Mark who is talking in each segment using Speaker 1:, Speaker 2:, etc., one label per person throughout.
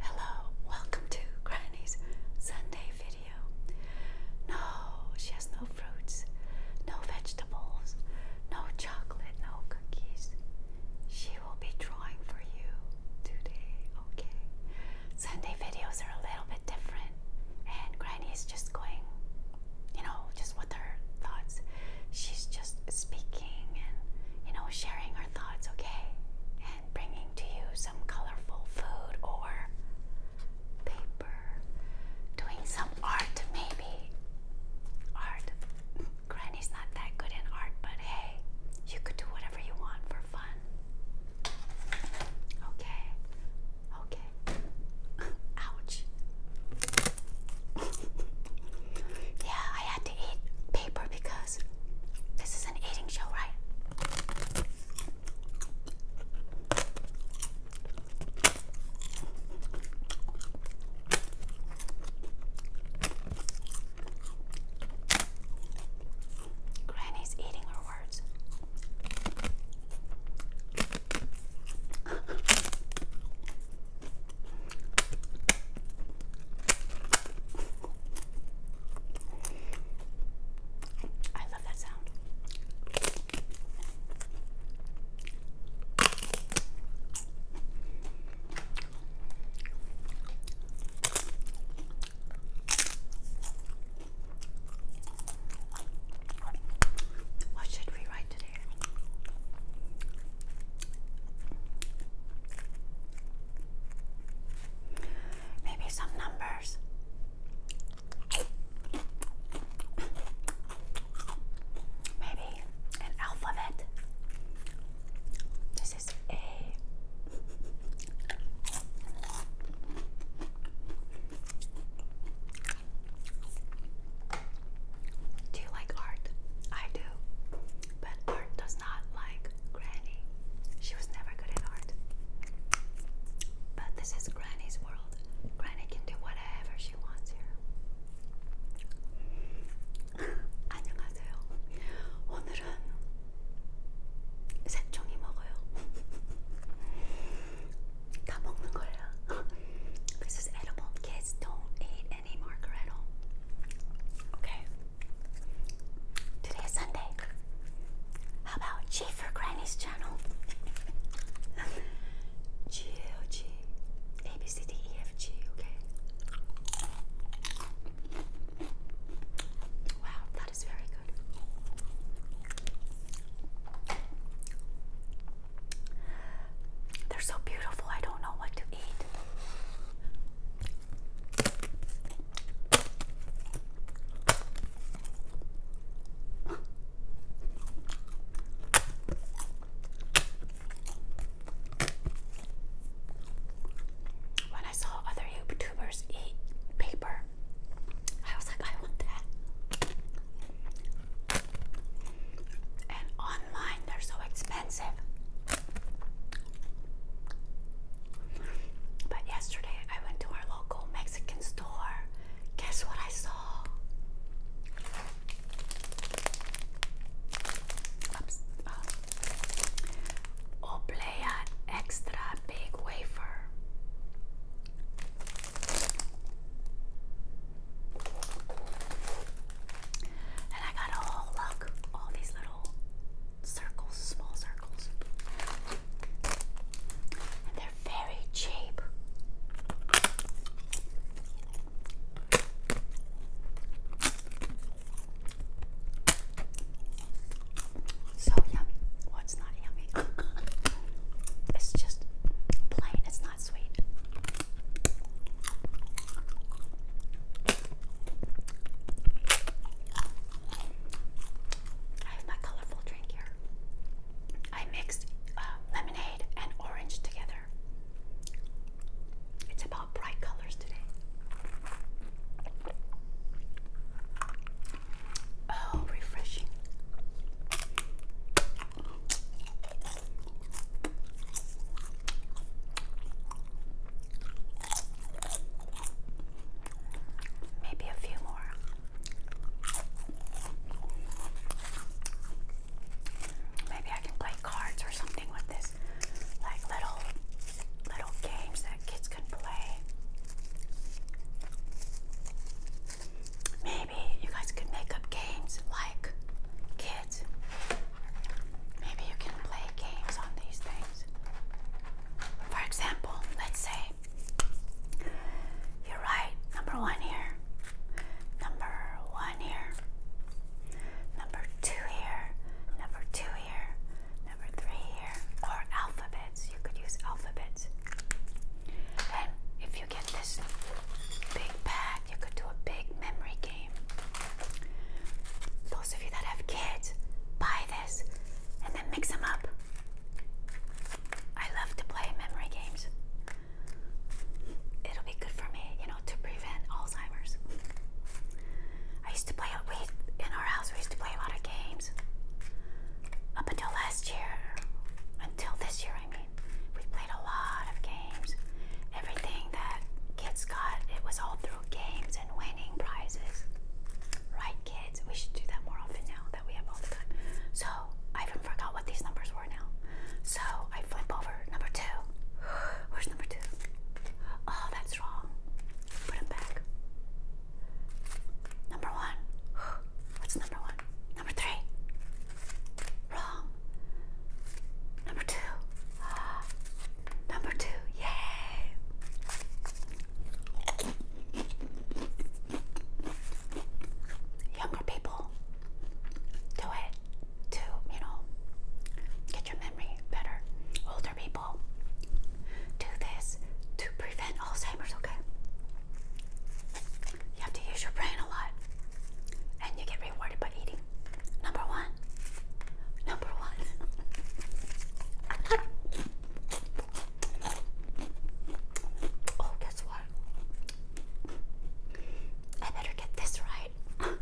Speaker 1: Hello, welcome to Granny's Sunday video. No, she has no fruits, no vegetables, no chocolate, no cookies. She will be drawing for you today, okay? Sunday videos are a little bit bit different. And Granny's just going, you know, just with her thoughts. She's just speaking and, you know, sharing her thoughts, okay? And bringing to you some colorful food or paper. Doing some art, maybe. Art. Granny's not that good in art, but hey, you could do whatever you want for fun. Okay, Okay. Ouch. yeah, I had to eat paper because this is an eating show, right? Granny's eating her words. I love that sound. What should we write today? Maybe some numbers. Maybe an alphabet. This is A. Do you like art? I do. But art does not like Granny. She was never good at art. But this is Granny's world. Granny can do whatever she wants here. 안녕하세요. 오늘은 색종이 먹어요. 다 먹는 거야. This is edible. Kids don't eat any margaretto. Okay. Today is Sunday. How about G for Granny's channel? G L G A B C D E F G. Okay. Wow, that is very good. They're so beautiful, I don't know what to eat. When I saw other YouTubers eat paper, I was like, I want that. And online, they're so expensive. But yesterday, I went to our local Mexican store. Guess what I saw? Uh, Oblea extra big wafer. And I got a look, all these little circles, small circles. And they're very cheap so yummy. Well, it's not yummy. it's just plain. It's not sweet. I have my colorful drink here. I mixed uh, lemonade and orange together. It's about bright colors today. Oh, refreshing. Maybe a few more. Maybe I can play cards or something with this, like little little games that kids can play. Maybe you guys could make up games like kids. Maybe you can play games on these things. For example, let's say you're number one here, number one here, number two here, number two here, number three here, or alphabets you could use alphabets. And if you get this big pack, you could do a big memory game. Those of you that have kids, buy this and then mix them up. I love to play memory games. It'll be good for me, you know, to prevent Alzheimer's. I used to play we in our house. We used to play a lot of games up until last year, until this year, I mean, we played a lot of games. Everything that kids got, it was all through games and winning prizes. Right, kids? We should do that more often now that we have all the time. So, I even forgot what these numbers were now. So, I flip over number two. Where's number two? Oh, that's wrong. Put them back. Number one. What's number one? Number three. Wrong. Number two. Number two. Yay. Younger people, do it to, you know, get your memory better. Older people, do this to prevent Alzheimer's, okay? You have to use your brain a lot, and you get rewarded by eating. Number one. Number one. oh, guess what? I better get this right.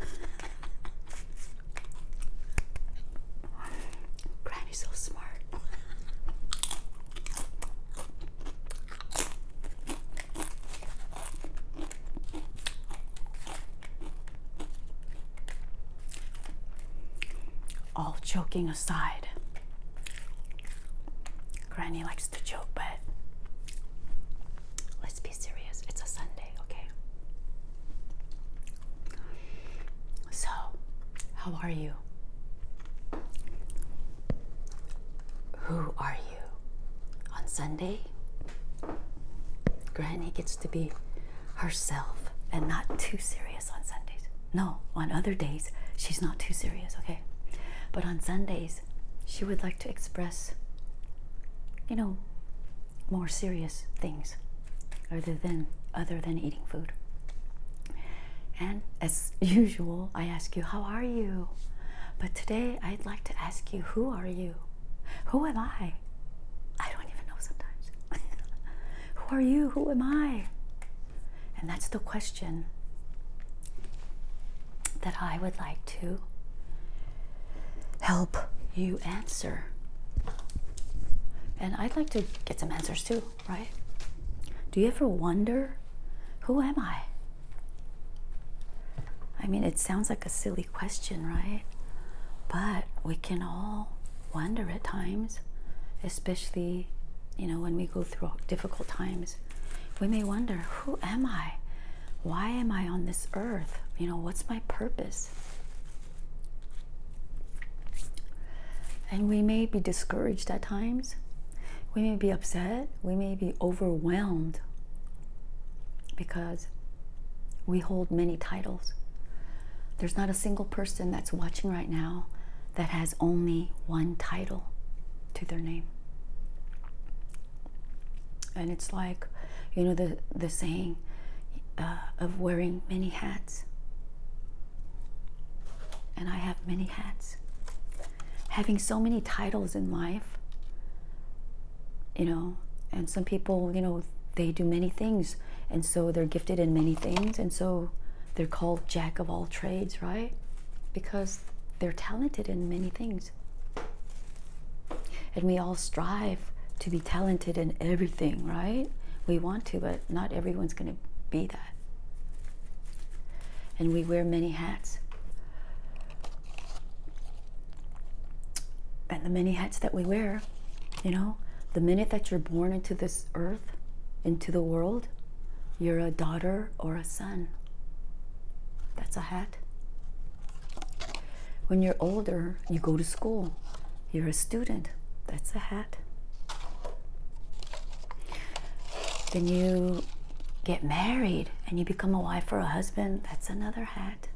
Speaker 1: Granny's so smart. All joking aside, Granny likes to joke, but let's be serious. It's a Sunday, okay? So, how are you? Who are you? On Sunday,
Speaker 2: Granny gets to be herself and not too serious on Sundays. No, on other days, she's not too serious, okay? But on Sundays, she would like to express, you know, more serious things other than other than eating food. And as usual, I ask you, How are you? But today I'd like to ask you, Who are you? Who am I? I don't even know sometimes. Who are you? Who am I? And that's the question that I would like to help you answer. And I'd like to get some answers too right? Do you ever wonder, who am I? I mean, it sounds like a silly question, right? But we can all wonder at times, especially, you know, when we go through difficult times. We may wonder, who am I? Why am I on this earth? You know, what's my purpose? And we may be discouraged at times. We may be upset. We may be overwhelmed because we hold many titles. There's not a single person that's watching right now that has only one title to their name. And it's like, you know, the, the saying uh, of wearing many hats. And I have many hats. Having so many titles in life, you know, and some people, you know, they do many things. And so they're gifted in many things. And so they're called jack of all trades, right? Because they're talented in many things. And we all strive to be talented in everything, right? We want to, but not everyone's going to be and we wear many hats. And the many hats that we wear, you know, the minute that you're born into this earth, into the world, you're a daughter or a son. That's a hat. When you're older, you go to school. You're a student. That's a hat. Then you get married and you become a wife or a husband. That's another hat.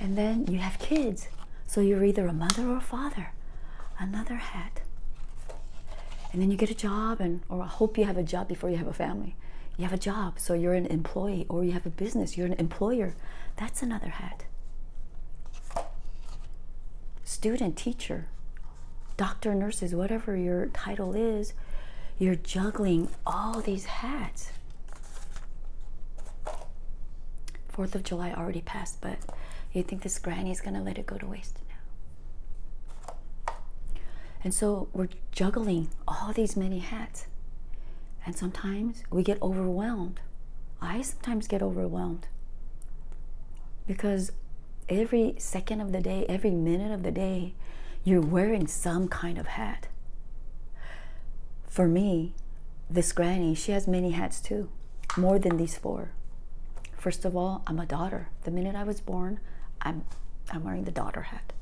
Speaker 2: And then you have kids. So you're either a mother or a father. Another hat. And then you get a job and or I hope you have a job before you have a family. You have a job, so you're an employee or you have a business, you're an employer. That's another hat. Student, teacher, doctor, nurses, whatever your title is, you're juggling all these hats. Fourth of July already passed, but you think this granny is gonna let it go to waste now? And so we're juggling all these many hats, and sometimes we get overwhelmed. I sometimes get overwhelmed because every second of the day, every minute of the day, you're wearing some kind of hat. For me, this granny, she has many hats too, more than these four. First of all, I'm a daughter. The minute I was born, I'm, I'm wearing the daughter hat.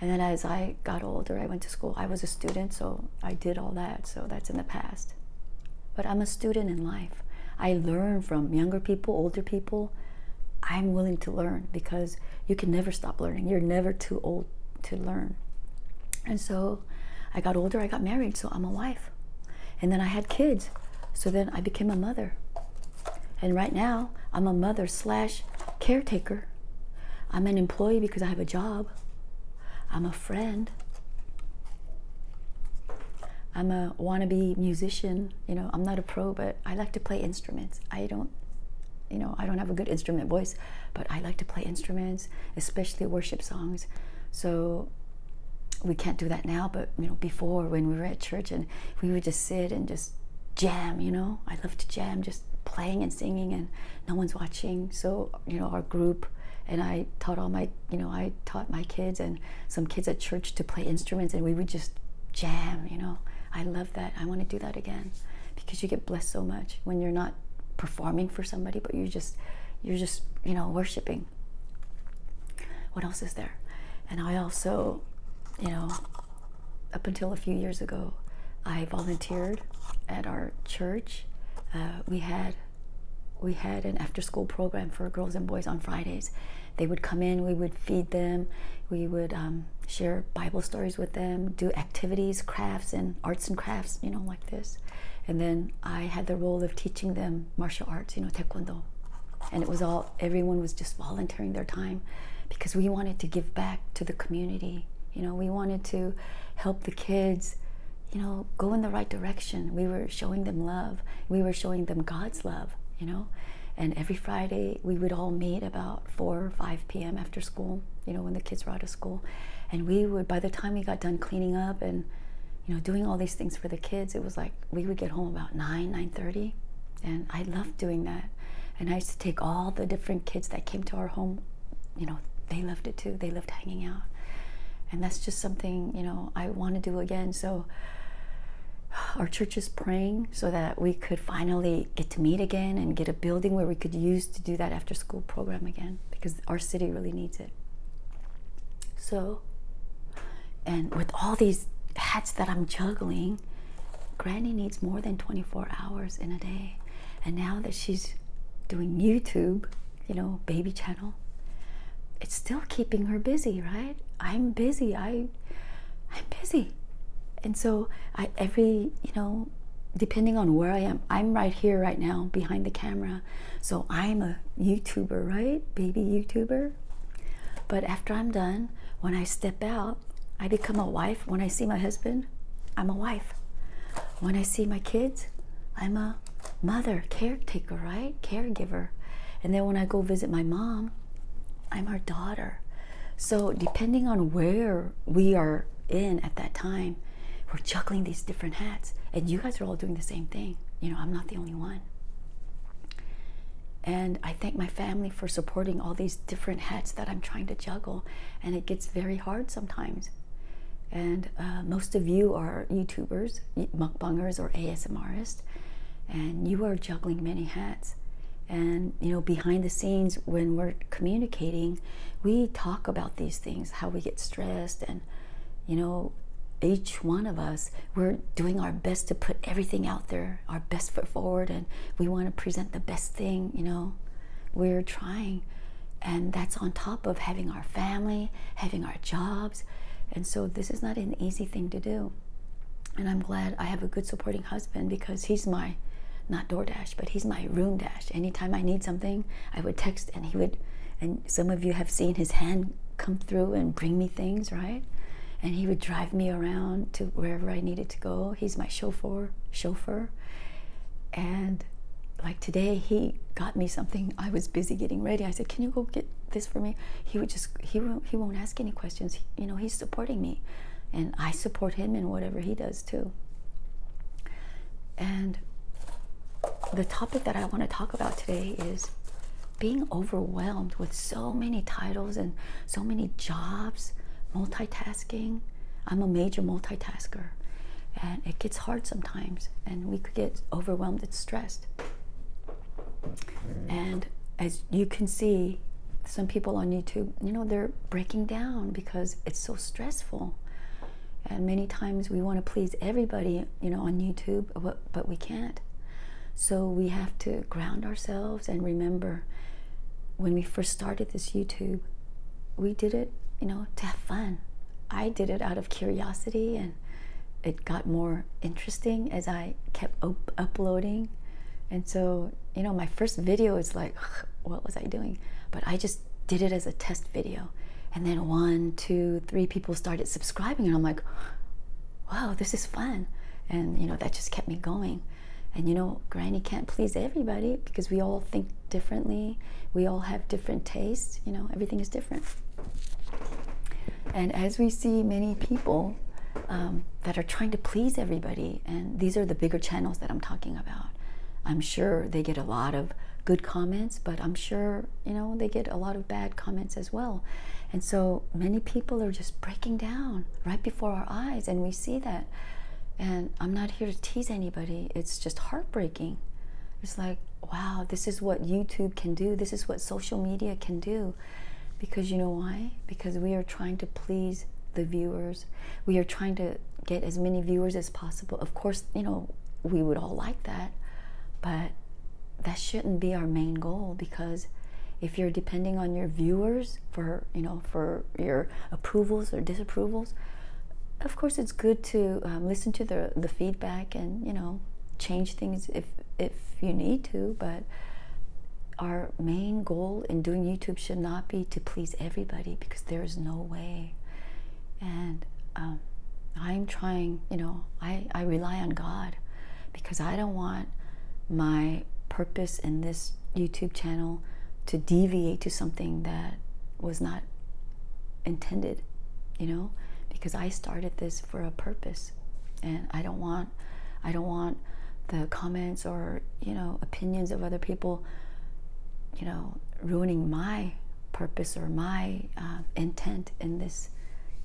Speaker 2: And then as I got older, I went to school, I was a student, so I did all that, so that's in the past. But I'm a student in life. I learn from younger people, older people. I'm willing to learn because you can never stop learning. You're never too old to learn. And so I got older, I got married, so I'm a wife. And then I had kids, so then I became a mother. And right now, I'm a mother slash caretaker. I'm an employee because I have a job. I'm a friend. I'm a wannabe musician. You know, I'm not a pro, but I like to play instruments. I don't, you know, I don't have a good instrument voice, but I like to play instruments, especially worship songs. So we can't do that now, but you know, before when we were at church and we would just sit and just jam, you know, I love to jam, just playing and singing, and no one's watching. So you know our group and I taught all my you know I taught my kids and some kids at church to play instruments and we would just jam you know I love that I want to do that again because you get blessed so much when you're not performing for somebody but you just you're just you know worshiping what else is there and I also you know up until a few years ago I have been volunteered at our church. Uh, we had we had an after school program for girls and boys on Fridays. They would come in, we would feed them, we would um, share Bible stories with them, do activities, crafts, and arts and crafts, you know, like this. And then I had the role of teaching them martial arts, you know, taekwondo. And it was all, everyone was just volunteering their time because we wanted to give back to the community you know, we wanted to help the kids, you know, go in the right direction. We were showing them love. We were showing them God's love, you know. And every Friday we would all meet about 4 or 5 p.m. after school, you know, when the kids were out of school. And we would, by the time we got done cleaning up and, you know, doing all these things for the kids, it was like we would get home about 9, 9.30. And I loved doing that. And I used to take all the different kids that came to our home you know, they loved it too. They loved hanging out. And that's just something, you know, I want to do again. So our church is praying so that we could finally get to meet again and get a building where we could use to do that after school program again because our city really needs it. So, and with all these hats that I'm juggling, Granny needs more than 24 hours in a day. And now that she's doing YouTube, you know, baby channel, it's still keeping her busy, right? I'm busy. I I'm busy. And so I every, you know, depending on where I am, I'm right here right now behind the camera. So I'm a YouTuber, right? Baby YouTuber. But after I'm done, when I step out, I become a wife. When I see my husband, I'm a wife when I see my kids, I'm a mother, caretaker, right? Caregiver. And then when I go visit my mom, I'm her daughter. So, depending on where we are in at that time, we're juggling these different hats. And you guys are all doing the same thing. You know, I'm not the only one. And I thank my family for supporting all these different hats that I'm trying to juggle and it gets very hard sometimes. And uh, most of you are YouTubers, mukbangers, or ASMRists, and you are juggling many hats. And you know, behind the scenes, when we're communicating, we talk about these things, how we get stressed, and you know, each one of us, we're doing our best to put everything out there, our best foot forward, and we want to present the best thing, you know we're trying and that's on top of having our family having our jobs and so this is not an easy thing to do and i'm glad i have a good supporting husband because he's my not DoorDash, but he's my room dash. Anytime I need something, I would text and he would, and some of you have seen his hand come through and bring me things, right? And he would drive me around to wherever I needed to go. He's my chauffeur, chauffeur. And like today, he got me something. I was busy getting ready. I said, "Can you go get this for me?" He would just he won't he won't ask any questions. you know, he's supporting me, and I support him in whatever he does too. And the topic that I want to talk about today is being overwhelmed with so many titles and so many jobs, multitasking I'm a major multitasker and it gets hard sometimes and we could get overwhelmed and stressed. And as you can see, some people on YouTube, you know, they're breaking down because it's so stressful. And many times we want to please everybody, you know, on YouTube, but we can't. So we have to ground ourselves and remember when we first started this YouTube, we did it, you know, to have fun. I did it out of curiosity and it got more interesting as I kept uploading. And so, you know, my first video is like, what was I doing? But I just did it as a test video. And then one, two, three people started subscribing, and I'm like, wow, this is fun. And, you know, that just kept me going. And you know, Granny can't please everybody because we all think differently. We all have different tastes. You know, everything is different. And as we see many people um, that are trying to please everybody, and these are the bigger channels that I'm talking about, I'm sure they get a lot of good comments, but I'm sure, you know, they get a lot of bad comments as well. And so many people are just breaking down right before our eyes, and we see that. And I'm not here to tease anybody. It's just heartbreaking. It's like, wow, this is what YouTube can do. This is what social media can do. Because you know why? Because we are trying to please the viewers. We are trying to get as many viewers as possible. Of course, you know, we would all like that, but that shouldn't be our main goal because if you're depending on your viewers for, you know, for your approvals or disapprovals of course it's good to um, listen to the the feedback and you know change things if if you need to but our main goal in doing YouTube should not be to please everybody because there's no way and um, I'm trying you know I, I rely on God because I don't want my purpose in this YouTube channel to deviate to something that was not intended, you know, because I started this for a purpose and I don't want I don't want the comments or, you know, opinions of other people, you know, ruining my purpose or my uh, intent in this,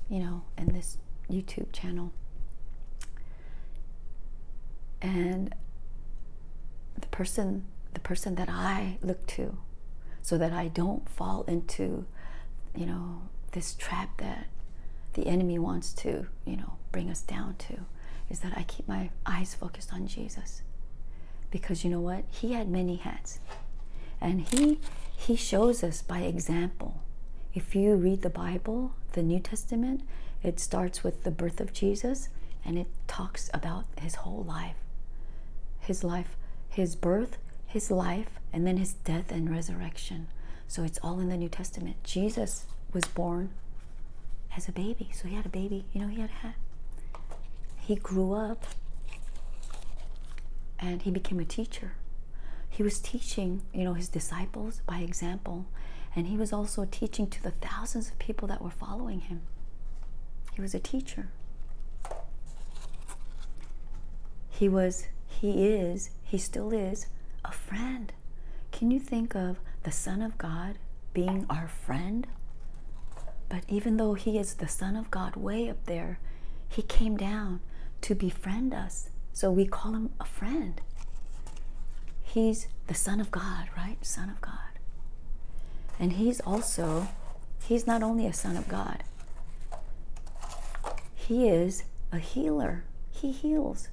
Speaker 2: you know, in this YouTube channel and the person the person that I look to so that I don't fall into you know this trap that the enemy wants to you know bring us down to is that I keep my eyes focused on Jesus because you know what he had many hats and he he shows us by example if you read the Bible the New Testament it starts with the birth of Jesus and it talks about his whole life. His life, his birth, his life, and then his death and resurrection. So it's all in the New Testament. Jesus was born as a baby. So he had a baby. You know, he had a hat. He grew up and he became a teacher. He was teaching, you know, his disciples by example, and he was also teaching to the thousands of people that were following him. He was a teacher. He was, he is, he still is a friend. Can you think of the Son of God being our friend? But even though he is the Son of God way up there, he came down to befriend us. So we call him a friend. He's the Son of God, right? Son of God. And he's also, he's not only a Son of God, he is a healer. He heals.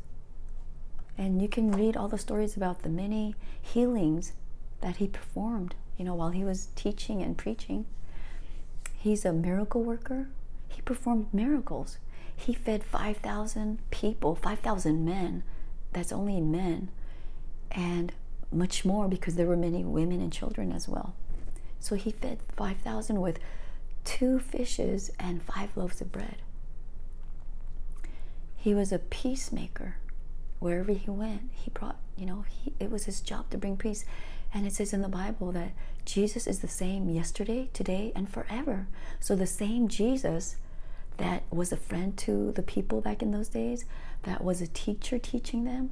Speaker 2: And you can read all the stories about the many healings that he performed, you know, while he was teaching and preaching. He's a miracle worker. He performed miracles. He fed 5,000 people, 5,000 men. That's only men. And much more because there were many women and children as well. So he fed 5,000 with two fishes and five loaves of bread. He was a peacemaker. Wherever he went, he brought, you know, it was his job to bring peace. And it says in the Bible that Jesus is the same yesterday, today, and forever. So the same Jesus that was a friend to the people back in those days, that was a teacher teaching them,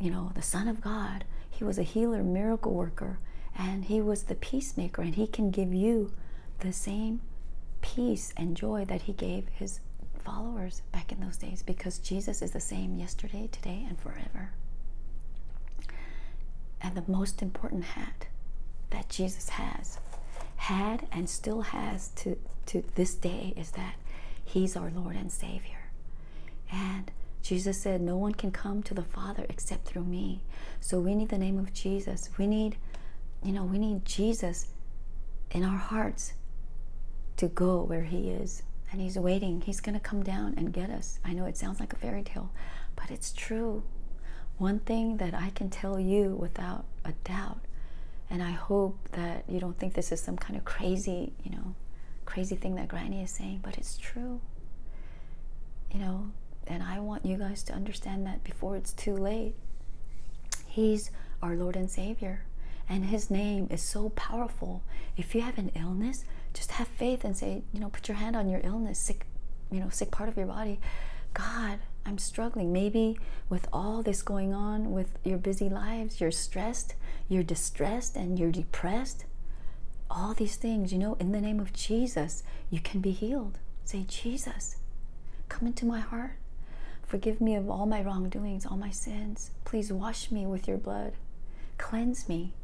Speaker 2: you know, the Son of God. He was a healer, miracle worker, and he was the peacemaker, and he can give you the same peace and joy that he gave his followers back in those days because Jesus is the same yesterday, today, and forever. And the most important hat that Jesus has had and still has to, to this day is that He's our Lord and Savior. And Jesus said, No one can come to the Father except through me. So we need the name of Jesus. We need, you know, we need Jesus in our hearts to go where He is. And He's waiting. He's going to come down and get us. I know it sounds like a fairy tale, but it's true. One thing that I can tell you without a doubt, and I hope that you don't think this is some kind of crazy, you know, crazy thing that Granny is saying, but it's true. You know, and I want you guys to understand that before it's too late. He's our Lord and Savior, and His name is so powerful. If you have an illness, just have faith and say, you know, put your hand on your illness, sick you know sick part of your body god i'm struggling maybe with all this going on with your busy lives you're stressed you're distressed and you're depressed all these things you know in the name of jesus you can be healed say jesus come into my heart forgive me of all my wrongdoings all my sins please wash me with your blood cleanse me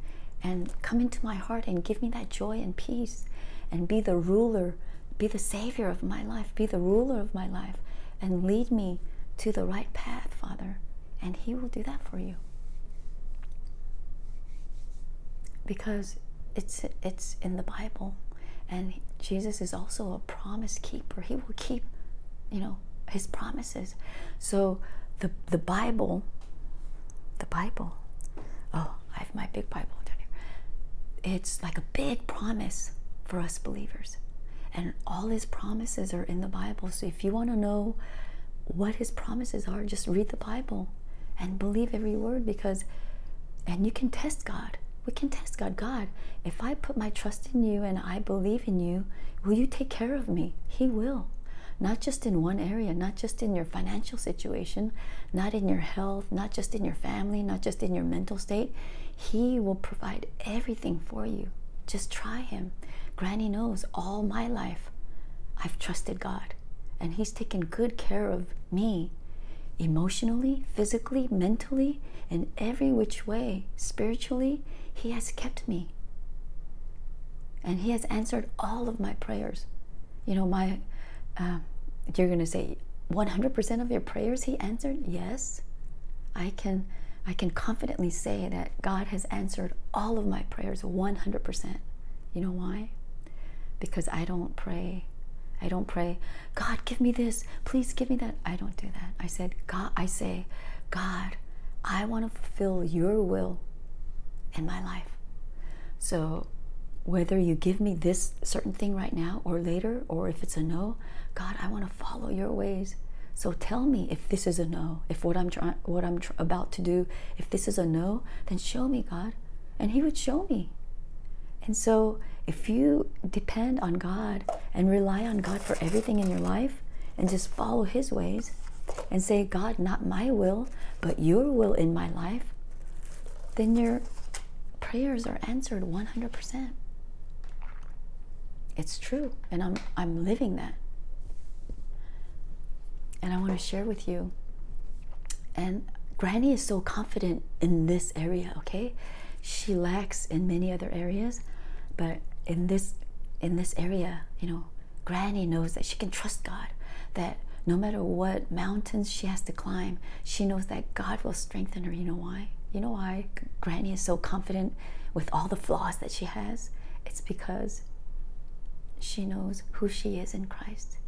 Speaker 2: and come into my heart and give me that joy and peace and be the ruler be the savior of my life, be the ruler of my life, and lead me to the right path, Father. And He will do that for you. Because it's, it's in the Bible. And Jesus is also a promise keeper. He will keep, you know, his promises. So the, the Bible the Bible. Oh, I have my big Bible down here. It's like a big promise for us believers. And all his promises are in the Bible. So if you want to know what his promises are, just read the Bible and believe every word because, and you can test God. We can test God. God, if I put my trust in you and I believe in you, will you take care of me? He will. Not just in one area, not just in your financial situation, not in your health, not just in your family, not just in your mental state. He will provide everything for you. Just try Him. Granny knows all my life I've trusted God, and He's taken good care of me emotionally, physically, mentally, in every which way, spiritually. He has kept me. And He has answered all of my prayers. You know, my, um, you're going to say 100% of your prayers he answered? Yes. I can I can confidently say that God has answered all of my prayers 100%. You know why? Because I don't pray. I don't pray, God, give me this. Please give me that. I don't do that. I said, God, I say, God, I want to fulfill your will in my life. So, whether you give me this certain thing right now or later, or if it's a no, God, I want to follow your ways. So tell me if this is a no, if what I'm trying, what I'm about to do, if this is a no, then show me, God, and He would show me. And so, if you depend on God and rely on God for everything in your life, and just follow His ways, and say, God, not my will, but Your will in my life, then your prayers are answered 100%. It's true, and I'm, I'm living that. And I want to share with you. And Granny is so confident in this area, okay? She lacks in many other areas, but in this in this area, you know, Granny knows that she can trust God, that no matter what mountains she has to climb, she knows that God will strengthen her. You know why? You know why Granny is so confident with all the flaws that she has? It's because she knows who she is in Christ.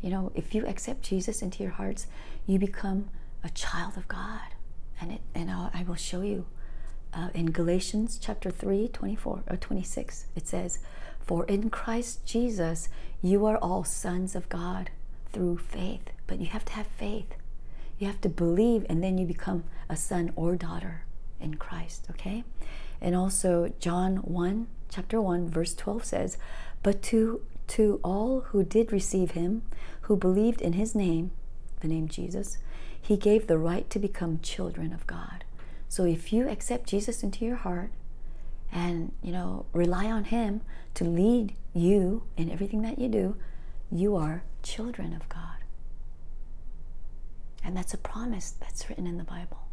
Speaker 2: You know, if you accept Jesus into your hearts, you become a child of God. And, I'll, show you. Uh, in Galatians chapter 3, 24 or uh, 26, it says, for in Christ Jesus, you are all sons of God through faith. But you have to have faith. You have to believe, and then you become a son or daughter in Christ, okay? And also, John 1, chapter 1, verse 12 says, But to, to all who did receive him, who believed in his name, the name Jesus, he gave the right to become children of God. So if you accept Jesus into your heart, and you know rely on him to lead you in everything that you do you are children of god and that's a promise that's written in the bible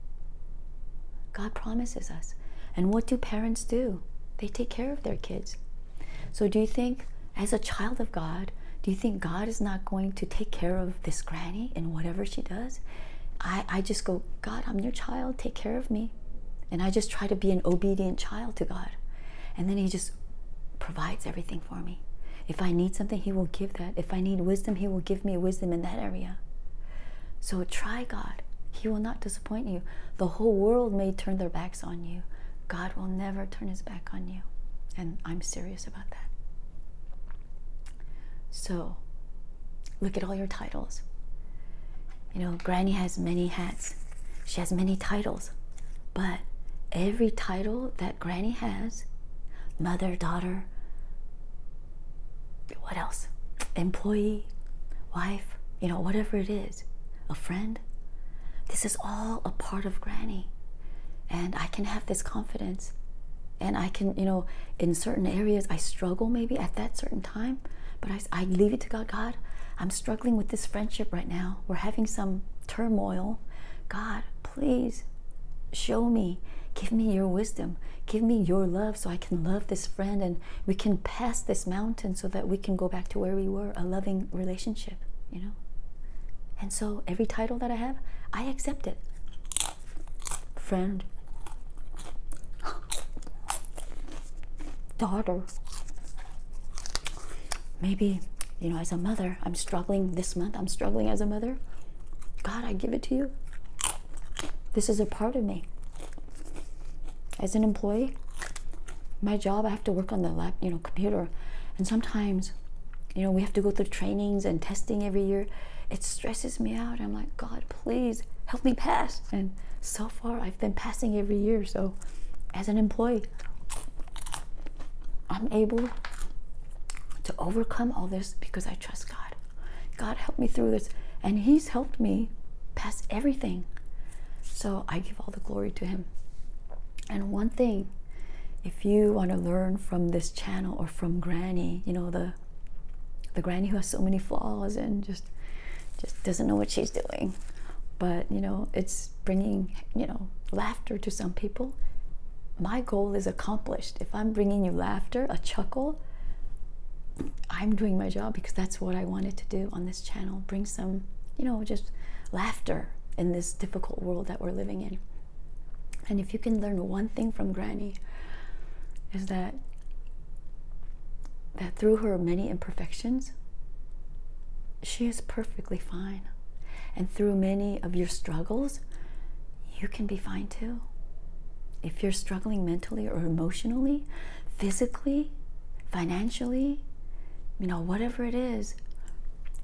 Speaker 2: god promises us and what do parents do they take care of their kids so do you think as a child of god do you think god is not going to take care of this granny in whatever she does I, just go, God, I'm your child, take care of me. And I just try to be an obedient child to God. And then He just provides everything for me. If I need something, He will give that. If I need wisdom, He will give me wisdom in that area. So try God. He will not disappoint you. The whole world may turn their backs on you. God will never turn his back on you. And I'm serious about that. So, look at all your titles. You know, Granny has many hats, she has many titles, but every title that Granny has mother, daughter, what else? Employee, wife, you know, whatever it is, a friend. This is all a part of Granny. And I can have this confidence and I can, you know, in certain areas I struggle maybe at that certain time, but I, I leave it to God. God, I'm struggling with this friendship right now. We're having some turmoil. God, please show me, give me your wisdom, give me your love so I can love this friend and we can pass this mountain so that we can go back to where we were a loving relationship, you know? And so every title that I have, I accept it friend, daughter. Maybe, you know, as a mother, I'm struggling this month, I'm struggling as a mother. God, I give it to you. This is a part of me. As an employee, my job, I have to work on the lap, you know, computer. And sometimes, you know, we have to go through trainings and testing every year. It stresses me out. I'm like, God, please help me pass. And so far, I've been passing every year. So, as an employee, I'm able to overcome all this because I trust God. God helped me through this, and He's helped me pass everything. So, I give all the glory to Him. And one thing, if you want to learn from this channel or from Granny, you know, the the granny who has so many flaws and just just doesn't know what she's doing but you know it's bringing you know laughter to some people my goal is accomplished if i'm bringing you laughter a chuckle i'm doing my job because that's what i wanted to do on this channel bring some you know just laughter in this difficult world that we're living in and if you can learn one thing from Granny, is that that through her many imperfections, she is perfectly fine. And through many of your struggles, you can be fine too. If you're struggling mentally or emotionally, physically, financially, you know, whatever it is,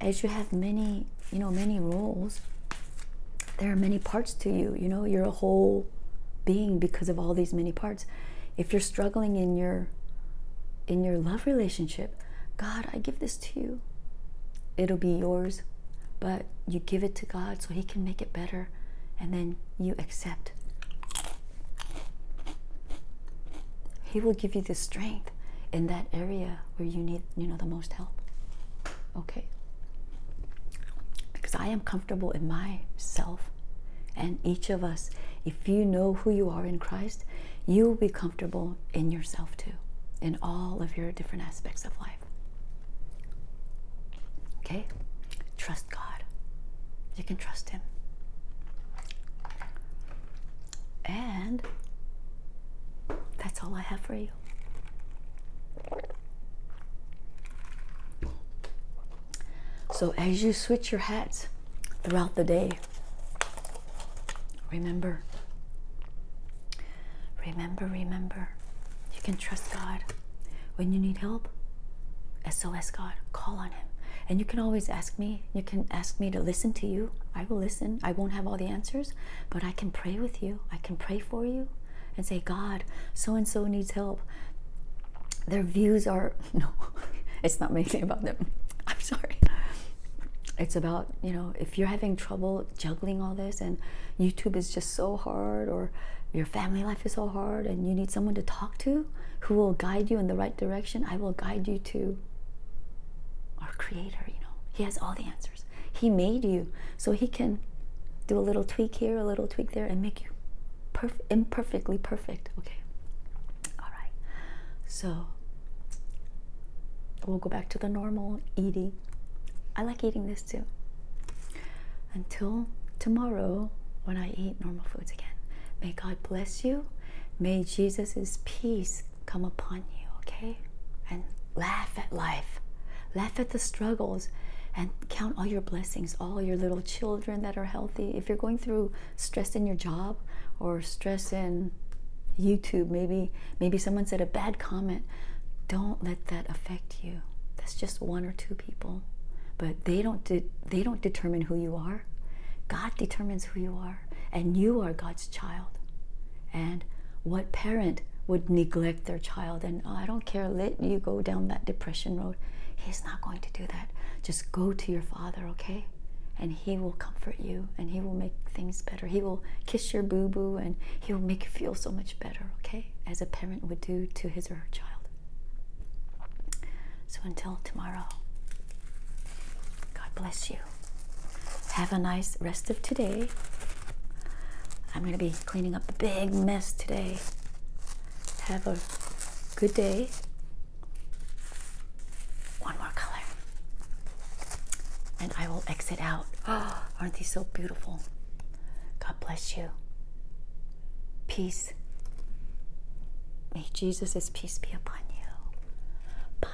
Speaker 2: as you have many, you know, many roles, there are many parts to you you know you're a whole being because of all these many parts if you're struggling in your in your love relationship god i give this to you it'll be yours but you give it to god so he can make it better and then you accept he will give you the strength in that area where you need you know the most help okay? Because I am comfortable in myself and each of us. If you know who you are in Christ, you will be comfortable in yourself too, in all of your different aspects of life. Okay? Trust God. You can trust Him. And that's all I have for you. So, as you switch your hats throughout the day, remember, remember, remember, you can
Speaker 1: trust God. When you need help, SOS God,
Speaker 2: call on Him. And you can always ask me, you can ask me to listen to you. I will listen. I won't have all the answers, but I can pray with you, I can pray for you and say, God, so and so needs help. Their views are, no, it's not me saying about them. I'm sorry. It's about, you know, if you're having trouble juggling all this and YouTube is just so hard or your family life is so hard and you need someone to talk to who will guide you in the right direction, I will guide you to our Creator, you know.
Speaker 1: He has all the answers.
Speaker 2: He made you so he can do a little tweak here, a little tweak there, and make you perf imperfectly perfect. Okay. All right. So we'll go back to the normal eating. I like eating this too. Until tomorrow, when I eat normal foods again, may God bless you. May Jesus' peace come upon you, okay? And laugh at life. Laugh at the struggles and count all your blessings, all your little children that are healthy. If you're going through stress in your job or stress in YouTube, maybe maybe someone said a bad comment, don't let that affect you. That's just one or two people. But they don't they don't determine who you are. God determines who you are, and you are God's child. And what parent would neglect their child and I don't care, let you go down that depression road? He's not going to do that. Just go to your father, okay? And he will comfort you and he will make things better. He will kiss your boo boo and he will make you feel so much better, okay? As a parent would do to his or her child. So until tomorrow, God bless you. Have a nice rest of today. I'm going to be cleaning up the big mess today. Have a good day. One more color. And
Speaker 1: I will exit out.
Speaker 2: aren't these so beautiful? God bless you. Peace. May Jesus' peace be upon you. Bye.